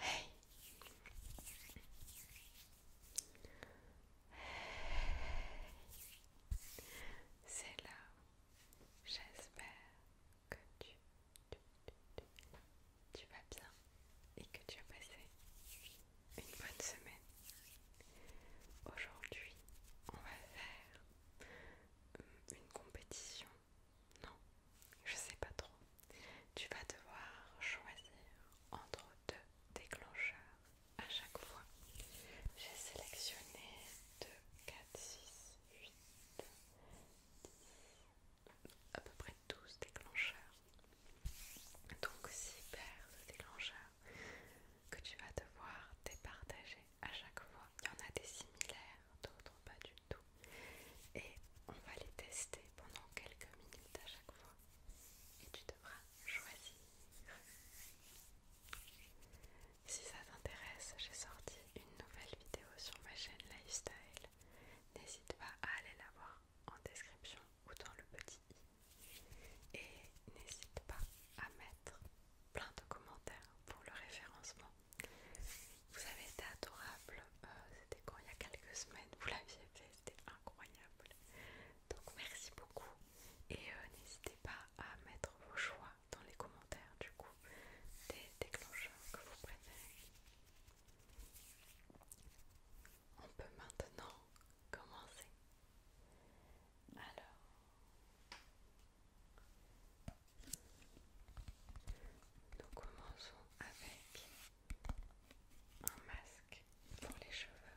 Hey. C'est là. J'espère que tu vas bien et que tu as passé une bonne semaine. Aujourd'hui, on va faire une compétition non, je sais pas trop. Tu vas devoir choisir entre deux déclencheurs à chaque fois. J'ai sélectionné 2, 4, 6, 8, 10, à peu près 12 déclencheurs. Donc 6 paires de déclencheurs que tu vas devoir départager à chaque fois il y en a des similaires, d'autres pas du tout. Et on va les tester pendant quelques minutes à chaque fois. Et tu devras choisir. Si ça t'intéresse, j'ai sorti une nouvelle vidéo sur ma chaîne Lifestyle. N'hésite pas à aller la voir en description ou dans le petit i. Et n'hésite pas à mettre plein de commentaires pour le référencement vous avez été adorable. Euh, c'était quand il y a quelques semaines, vous l'aviez fait. C'était incroyable. Donc merci beaucoup. Et euh, n'hésitez pas à mettre vos choix dans les commentaires du coup des déclencheurs que vous préférez. On peut maintenant commencer. Alors, nous commençons avec un masque pour les cheveux.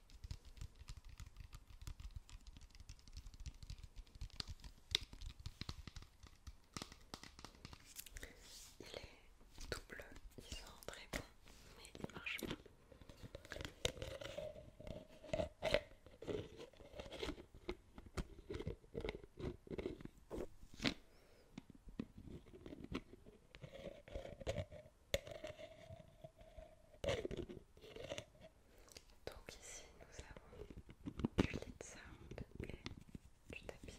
Il est double, il sent très bon, mais il marche pas. Donc ici nous avons du lead sound et du tapis.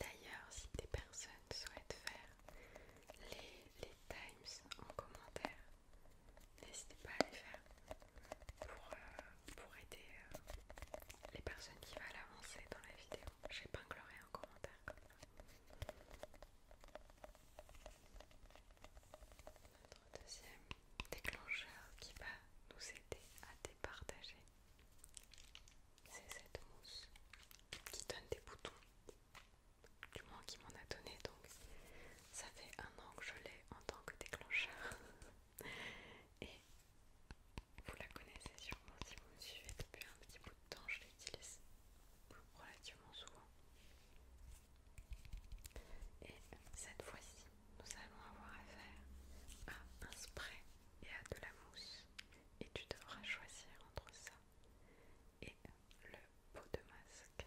D'ailleurs, si des personnes souhaitent faire les, times en commentaire, n'hésitez pas à les faire pour, euh, aider euh, les personnes qui veulent avancer dans la vidéo. J'épinglerai en commentaire deuxième déclencheur qui va nous aider à départager. C'est cette mousse qui donne des boutons, du moins qui m'en a donné donc. Ça fait un an que je l'ai en tant que déclencheur. Et vous la connaissez sûrement si vous me suivez depuis un petit bout de temps, je l'utilise relativement souvent. Et cette fois-ci, nous allons avoir affaire à un spray et à de la mousse. Et tu devras choisir entre ça et le pot de masque.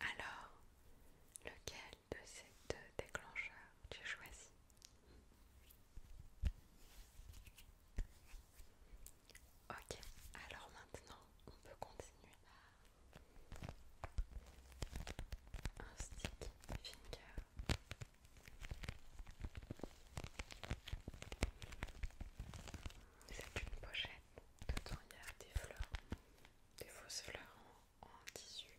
Alors, lequel de ces deux déclencheurs tu choisis Ok, alors maintenant on peut continuer un stick finger. C'est une pochette. Dedans il y a des fleurs, des fausses fleurs en tissu.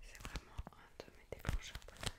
C'est vraiment un de mes déclencheurs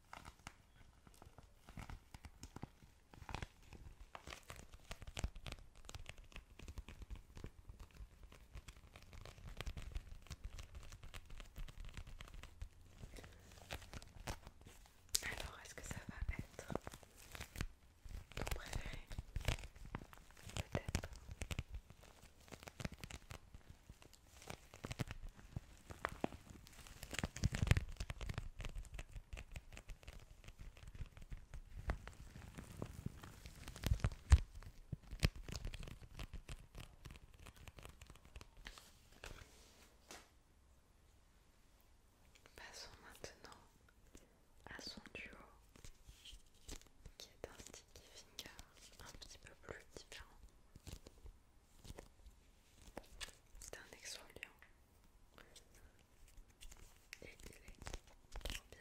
Alors, est-ce que ça va être ton préféré Peut-être. Passons maintenant à son duo qui est un sticky finger un petit peu plus différent. C'est un exfoliant et il est trop bien.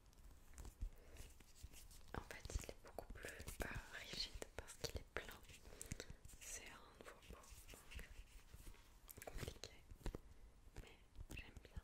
En fait, il est beaucoup plus euh, rigide parce qu'il est plein. C'est un nouveau compliqué, mais j'aime bien.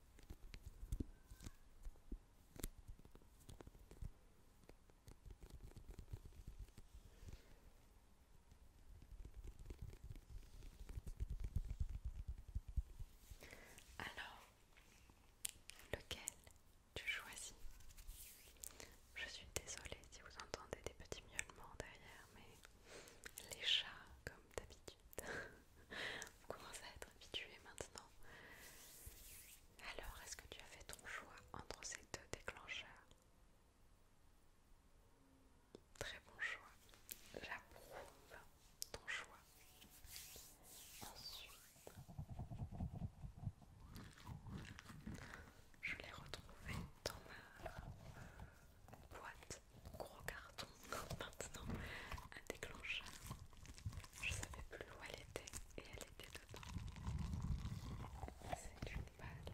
Alors, lequel tu choisis Je suis désolée si vous entendez des petits miaulements derrière, mais les chats, comme d'habitude, On commence à être habitué maintenant. Alors, est-ce que tu as fait ton choix entre ces deux déclencheurs Très bon choix. J'approuve ton choix. Ensuite, je l'ai retrouvé dans ma boîte gros carton maintenant, un déclencheur. Je savais plus où elle était et elle était dedans. C'est une balle.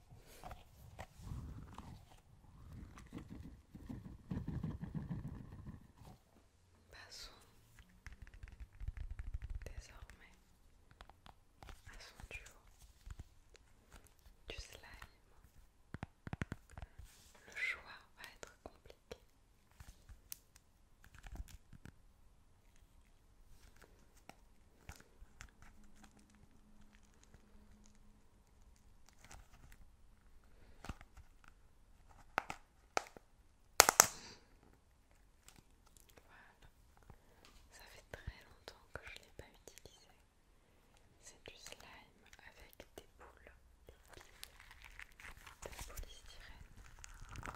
Passons désormais à son duo du slime. Le choix va être compliqué. Ça fait très longtemps que je ne l'ai pas utilisé. C'est du slime avec des boules, des de polystyrène.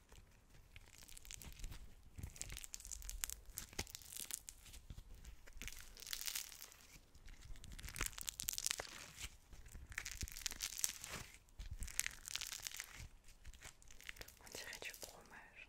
On dirait du fromage.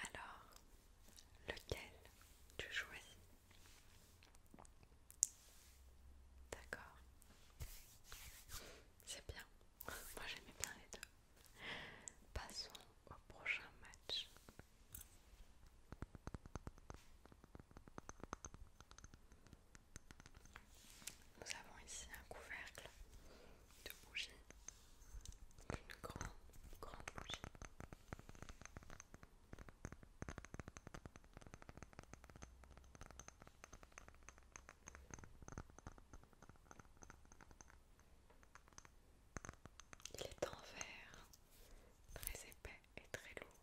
Alors, lequel tu choisis D'accord. C'est bien. Moi j'aimais bien les deux. Passons au prochain match. Nous avons ici un couvercle de bougies, une grande, grande bougie il est en verre, très épais et très lourd.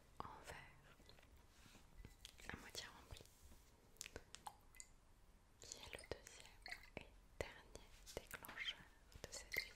en verre à moitié rempli qui est le deuxième et dernier déclencheur de cette vidéo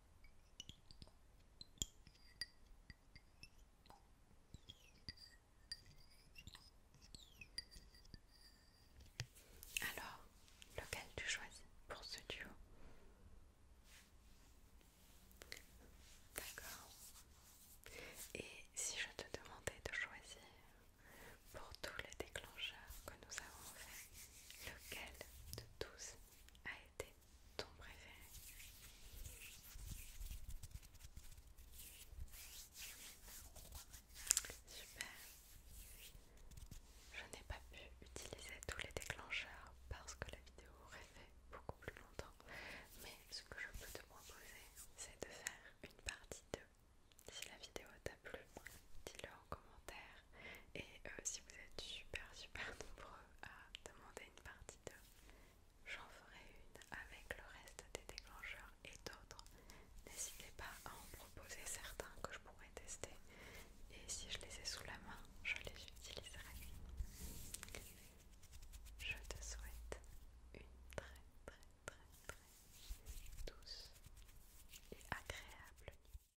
Alors, lequel tu choisis pour ce duo D'accord. Et si je te demandais de choisir pour tous les déclencheurs que nous avons faits, lequel de tous a ton préféré Super. Je n'ai pas pu utiliser tous les déclencheurs parce que la vidéo aurait fait beaucoup plus longtemps. Mais ce que je peux te proposer, c'est de faire une partie 2. Si la vidéo t'a plu, dis-le en commentaire et euh, si vous êtes super super nombreux à demander une partie de, j'en ferai une avec le reste des déclencheurs et d'autres. N'hésitez pas à en proposer certains que je pourrais tester. Et si je les ai sous la main, je les utiliserai. Je te souhaite une très très très très douce et agréable nuit.